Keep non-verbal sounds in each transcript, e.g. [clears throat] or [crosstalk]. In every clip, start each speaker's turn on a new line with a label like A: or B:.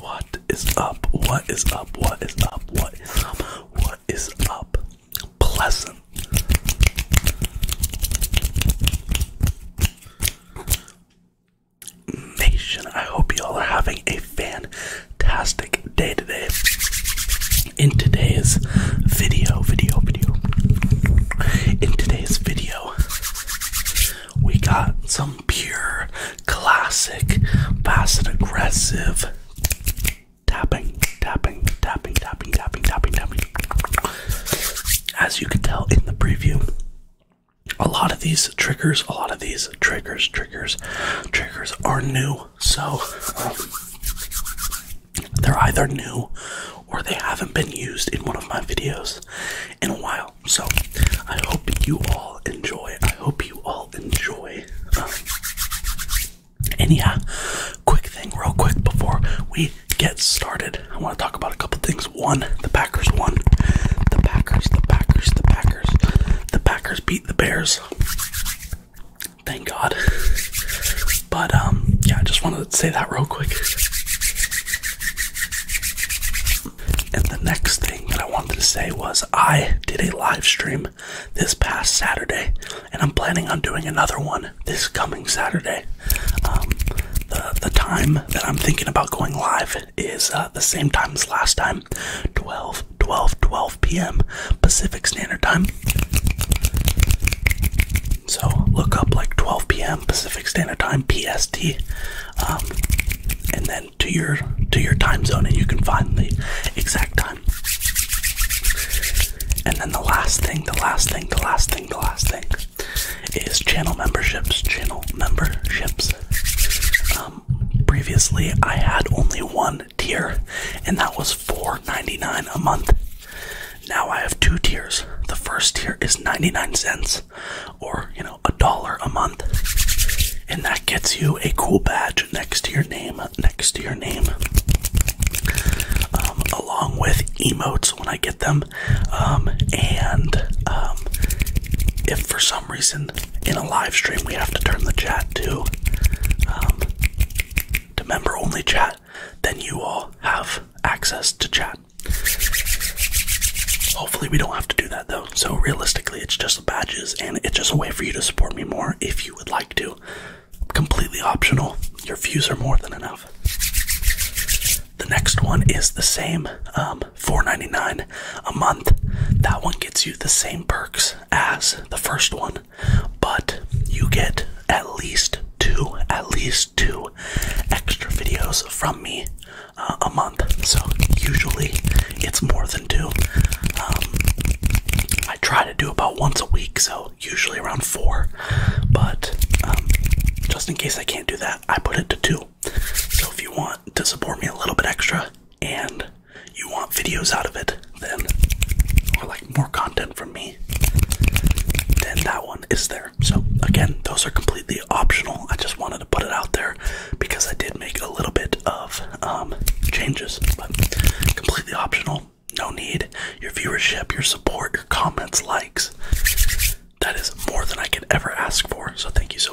A: What is up? What is up? What is up? What is up? What is up? Pleasant. Nation, I hope y'all are having a fan fantastic day today. In today's video, video, video, in today's video, we got some pure classic, fast and aggressive tapping, tapping, tapping, tapping, tapping, tapping, tapping. As you can tell in the preview, a lot of these triggers, a lot of these triggers, triggers, triggers are new. So they're either new or they haven't been used in one of my videos in a while. So I hope you all enjoy. I hope you all enjoy. Um, and yeah, quick thing, real quick, before we get started, I want to talk about a couple things. One, the Packers won. The Packers, the Packers, the Packers. The Packers beat the Bears. Thank God. [laughs] but um, yeah, I just wanted to say that real quick. And the next thing that I wanted to say was I did a live stream this past Saturday, and I'm planning on doing another one this coming Saturday. Um, the the time that I'm thinking about going live is uh, the same time as last time, 12, 12, 12 p.m. Pacific Standard Time. So look up like 12 p.m. Pacific Standard Time (PST), um, and then to your to your time zone, and you can find the exact time. And then the last thing, the last thing, the last thing, the last thing is channel memberships. Channel memberships. Um, previously, I had only one tier, and that was $4.99 a month. Now I have two tiers. The first tier is 99 cents, or you know, a dollar a month, and that gets you a cool badge next to your name, next to your name, um, along with emotes when I get them, um, and um, if for some reason, in a live stream, we have to turn the chat to um, to member only chat. Then you all have access to chat. Hopefully, we don't have to do that though. So realistically, it's just badges, and it's just a way for you to support me more if you would like to. Completely optional. Your views are more than enough. The next one is the same, um, $4.99 a month. That one gets you the same perks as the first one, but you get at least two, at least two extra videos from me uh, a month. So usually it's more than two. Um, I try to do about once a week, so usually around four. But um, just in case I can't do that, I put it to two. So if you want to support me a little bit extra and you want videos out of it, then, or like more content from me, then that one is there. So, again, those are completely optional. I just wanted to put it out there because I did make a little bit of um, changes, but completely optional. No need. Your viewership, your support, your comments, likes. That is more than I could ever ask for. So, thank you so.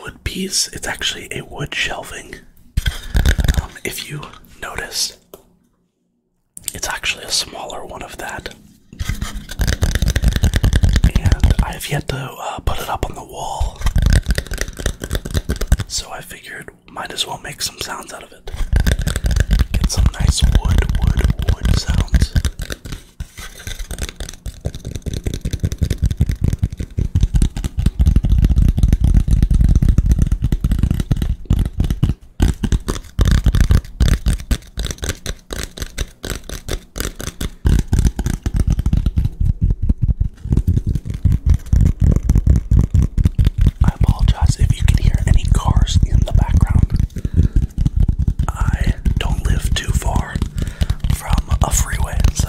A: wood piece, it's actually a wood shelving. Um, if you notice, it's actually a smaller one of that. And I have yet to uh, put it up on the wall. So I figured might as well make some sounds out of it. Get some nice wood, wood, wood sounds. I apologize if you can hear any cars in the background. I don't live too far from a freeway, so.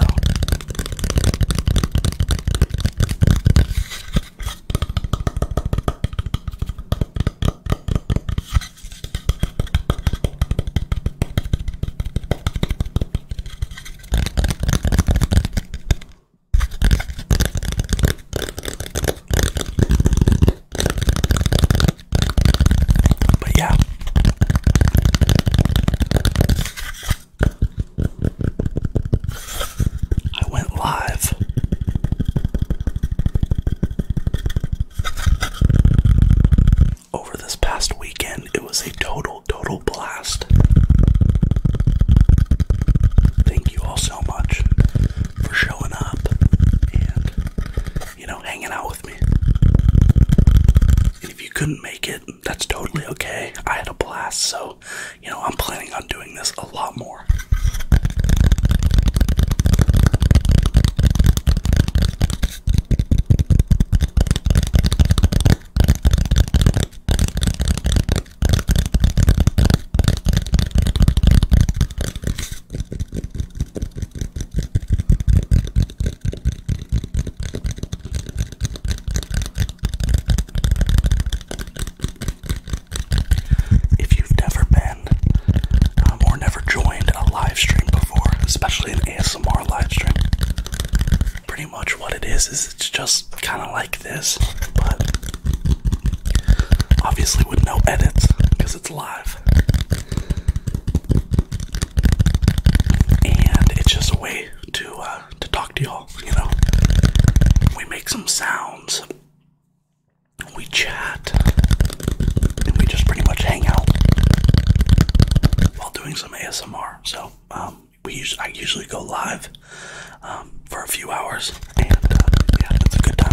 A: But yeah. I went live. Over this past weekend, it was a total, total blast. Thank you all so much for showing up and you know, hanging out with me. And if you couldn't make it, that's totally okay. I had a blast, so, you know, I'm planning on doing this a lot more. If you've never been um, or never joined a live stream before, especially an ASMR live stream, pretty much what it is is it's just kind of like this, but obviously with no edits because it's live and it's just a way to uh, to talk to y'all. You know, we make some sounds, we chat, and we just pretty much hang out while doing some ASMR. So um, we us I usually go live um, for a few hours, and uh, yeah, it's a good time.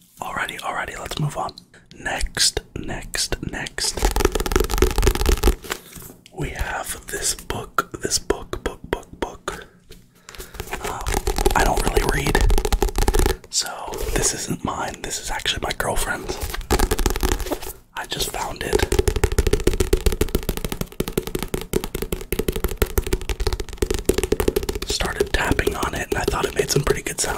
A: Alrighty, alrighty, let's move on. Next, next, next. We have this book, this book, book, book, book. Uh, I don't really read, so this isn't mine. This is actually my girlfriend's. I just found it. Started tapping on it, and I thought it made some pretty good sounds.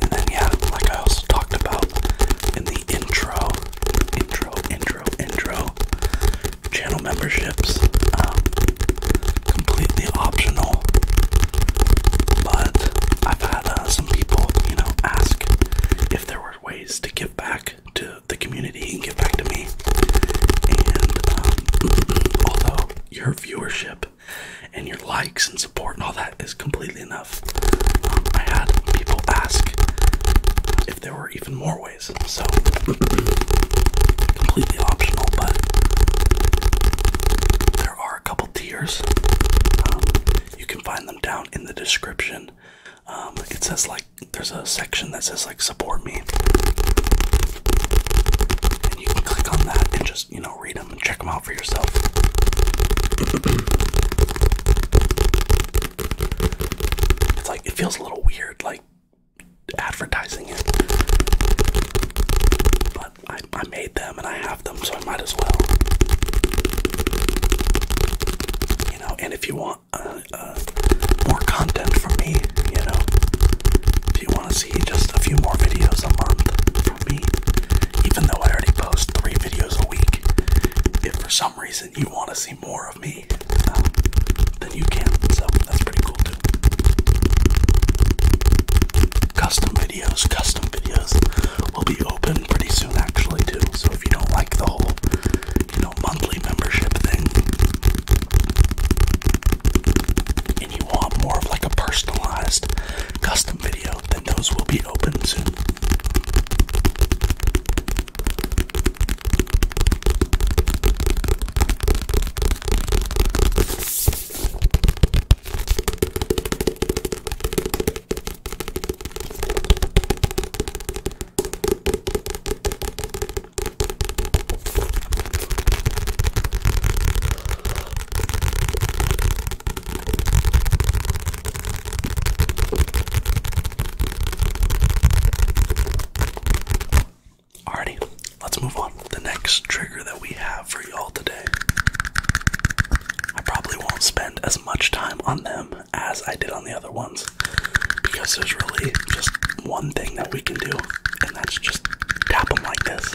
A: And then yeah, like I also talked about in the intro, intro, intro, intro, channel memberships, um, completely optional. But I've had uh, some people, you know, ask if there were ways to give back to the community and give back to me. And um, [clears throat] although your viewership and your likes and so support and all that is completely enough. Um, I had people ask if there were even more ways, so [clears throat] completely optional, but there are a couple tiers. Um, you can find them down in the description. Um, it says like there's a section that says like support me, and you can click on that and just you know, read them and check them out for yourself. it's like, it feels a little weird, like, advertising it. But I, I made them and I have them, so I might as well. You know, and if you want uh, uh, more content from me, you know, if you want to see just a few more videos a month, even though I already post three videos a week. If for some reason you want to see more of me, um, then you can. So that's pretty cool too. Custom videos, custom videos will be open pretty soon actually too. So if you don't like the whole, you know, monthly membership thing, and you want more of like a personalized custom video, out, then those will be open soon. Alrighty, let's move on. The next trigger that we have for y'all today. I probably won't spend as much time on them as I did on the other ones because there's really just one thing that we can do, and that's just tap them like this.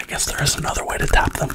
A: I guess there is another way to tap them.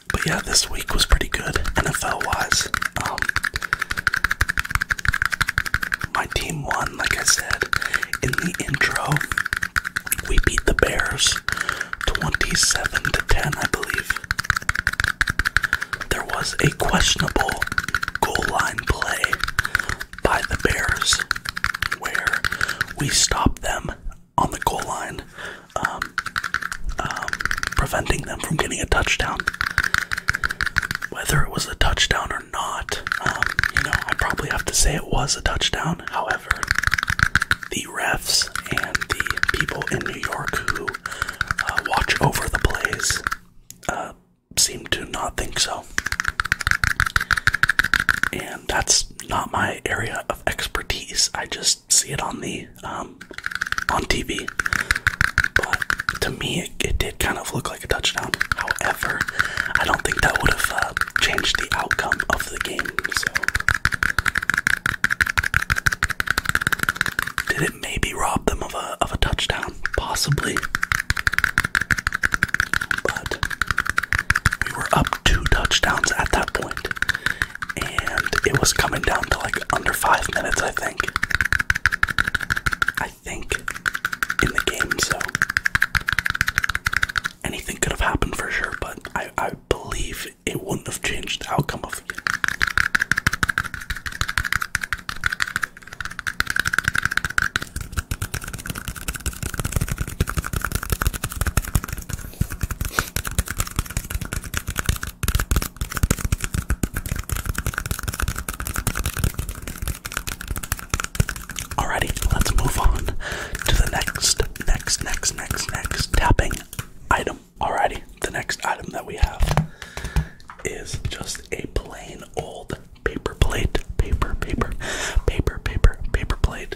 A: But yeah, this week was pretty good NFL wise. Um, my team won, like I said in the intro. We beat the Bears 27 to 10, I believe. There was a questionable goal line play by the Bears where we stopped them on the goal line, um, um, preventing them from getting a touchdown. Whether it was a touchdown or not, um, you know, I probably have to say it was a touchdown. However, the refs and the people in New York who uh, watch over the plays uh, seem to not think so. And that's not my area of expertise. I just see it on the um, on TV. But to me, it, did kind of look like a touchdown. However, I don't think that would have uh, changed the outcome of the game. So. Did it maybe rob them of a of a touchdown? Possibly. But we were up two touchdowns at that point and it was coming down to like under five minutes, I think. I think in the game, so anything could have happened for sure, but I, I believe it wouldn't have changed the outcome of it. Alrighty, let's move on to the next, next, next, next, next tapping item. Alrighty, the next item that we have is just a plain old paper plate. Paper, paper, paper, paper, paper plate.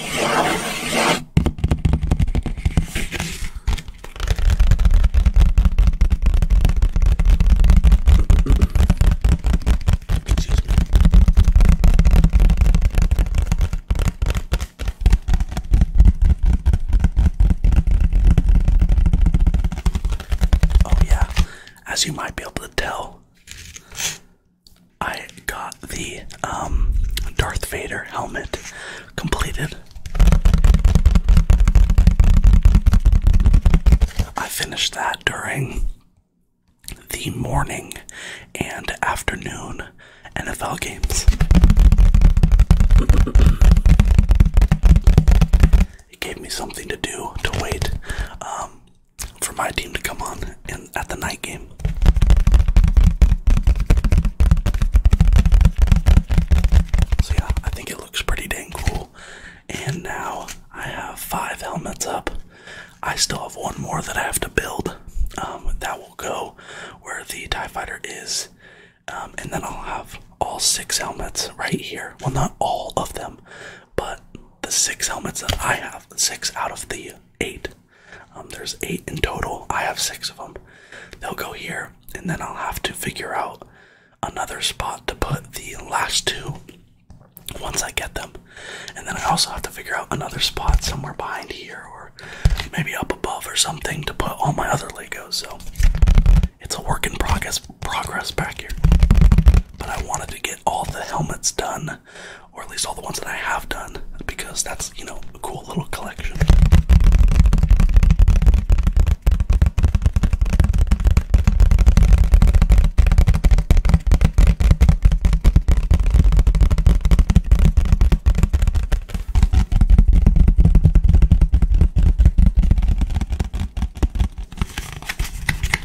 A: Excuse me. Oh, yeah, as you might be able to tell, I got the um, Darth Vader helmet completed. I finished that during the morning and afternoon NFL games. it gave me something to do to wait. Um, for my team to come on in, at the night game. So yeah, I think it looks pretty dang cool. And now I have five helmets up. I still have one more that I have to build. Um, that will go where the TIE fighter is. Um, and then I'll have all six helmets right here. Well, not all of them, but the six helmets that I have, six out of the eight, um, there's eight in total. I have six of them. They'll go here, and then I'll have to figure out another spot to put the last two once I get them. And then I also have to figure out another spot somewhere behind here or maybe up above or something to put all my other Legos. So it's a work in progress back here. But I wanted to get all the helmets done or at least all the ones that I have done, because that's, you know, a cool little collection.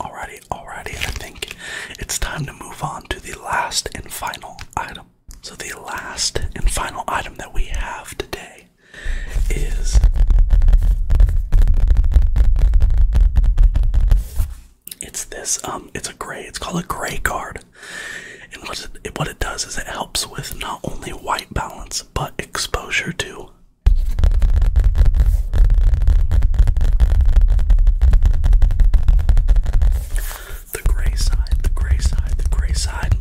A: Alrighty, alrighty, I think it's time to move on to the last and final item. So, the last and final item that we have today is it's this um it's a gray it's called a gray card and what it, what it does is it helps with not only white balance but exposure too. The gray side, the gray side, the gray side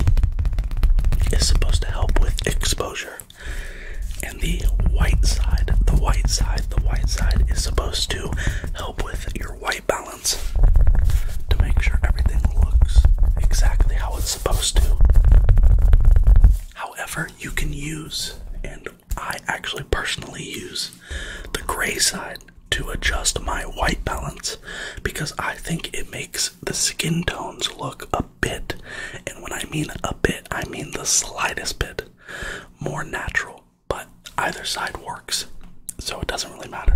A: is supposed to help with exposure. And the white side, the white side, the white side is supposed to help with your white balance to make sure everything looks exactly how it's supposed to. However, you can use, and I actually personally use, the gray side to adjust my white balance because I think it makes the skin tones look a bit, and when I mean a bit, I mean the slightest bit, more natural but either side works, so it doesn't really matter.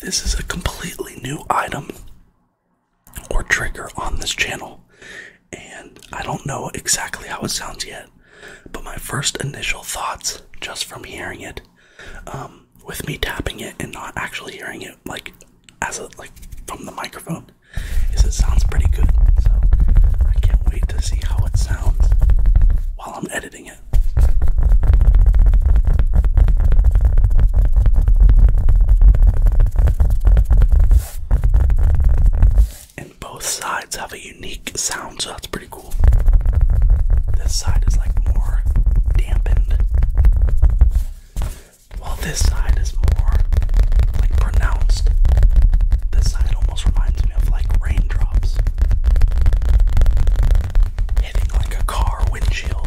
A: This is a completely new item or trigger on this channel, and I don't know exactly how it sounds yet, but my first initial thoughts just from hearing it, um, with me tapping it and not actually hearing it like as like from the microphone, it sounds pretty good. So I can't wait to see how it sounds while I'm editing it. And both sides have a unique sound, so that's pretty cool. This side is like more dampened. While this side is more like pronounced, this side almost reminds me of like raindrops hitting like a car windshield.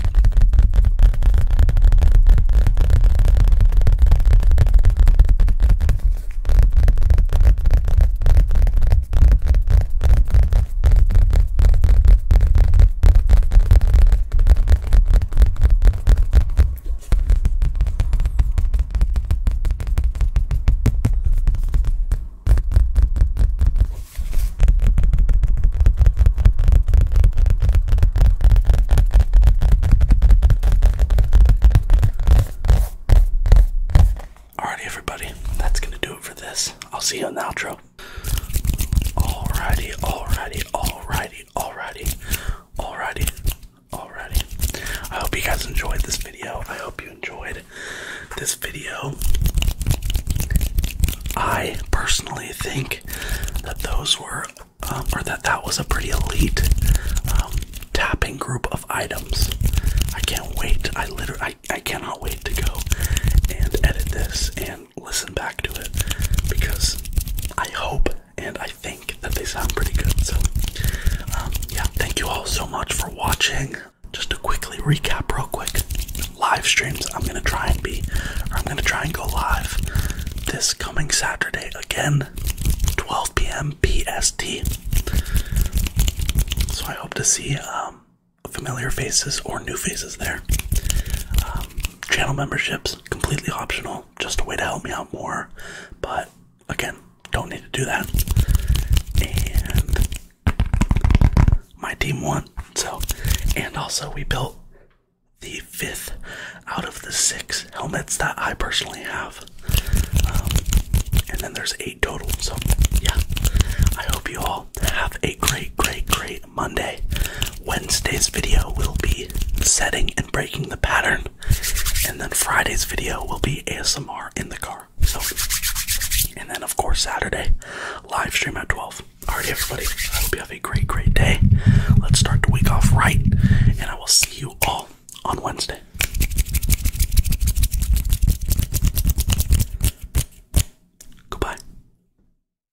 A: Alrighty, everybody, that's gonna do it for this. I'll see you in the outro. Alrighty, alrighty, alrighty, Alrighty, alrighty, alrighty, I hope you guys enjoyed this video. I hope you enjoyed this video. I personally think that those were, um, or that that was a pretty elite um, tapping group of items. I can't wait. I literally, I, I cannot wait to go and edit this and listen back to it because I hope and I think that they sound pretty good. So, um, yeah, thank you all so much for watching. Just to quickly recap, real quick live streams, I'm gonna try and be, or I'm gonna try and go live this coming Saturday again, 12 p.m. PST. So, I hope to see um, familiar faces or new faces there. Um, Channel memberships completely optional, just a way to help me out more. But again, don't need to do that. And my team won. So, and also we built the fifth out of the six helmets that I personally have. Um, and then there's eight total. So, yeah. I hope you all have a great, great, great Monday. Wednesday's video will be setting and breaking the pattern, and then Friday's video will be ASMR in the car. So, and then of course Saturday, live stream at 12. Alright, everybody, I hope you have a great, great day. Let's start the week off right, and I will see you all on Wednesday. Goodbye.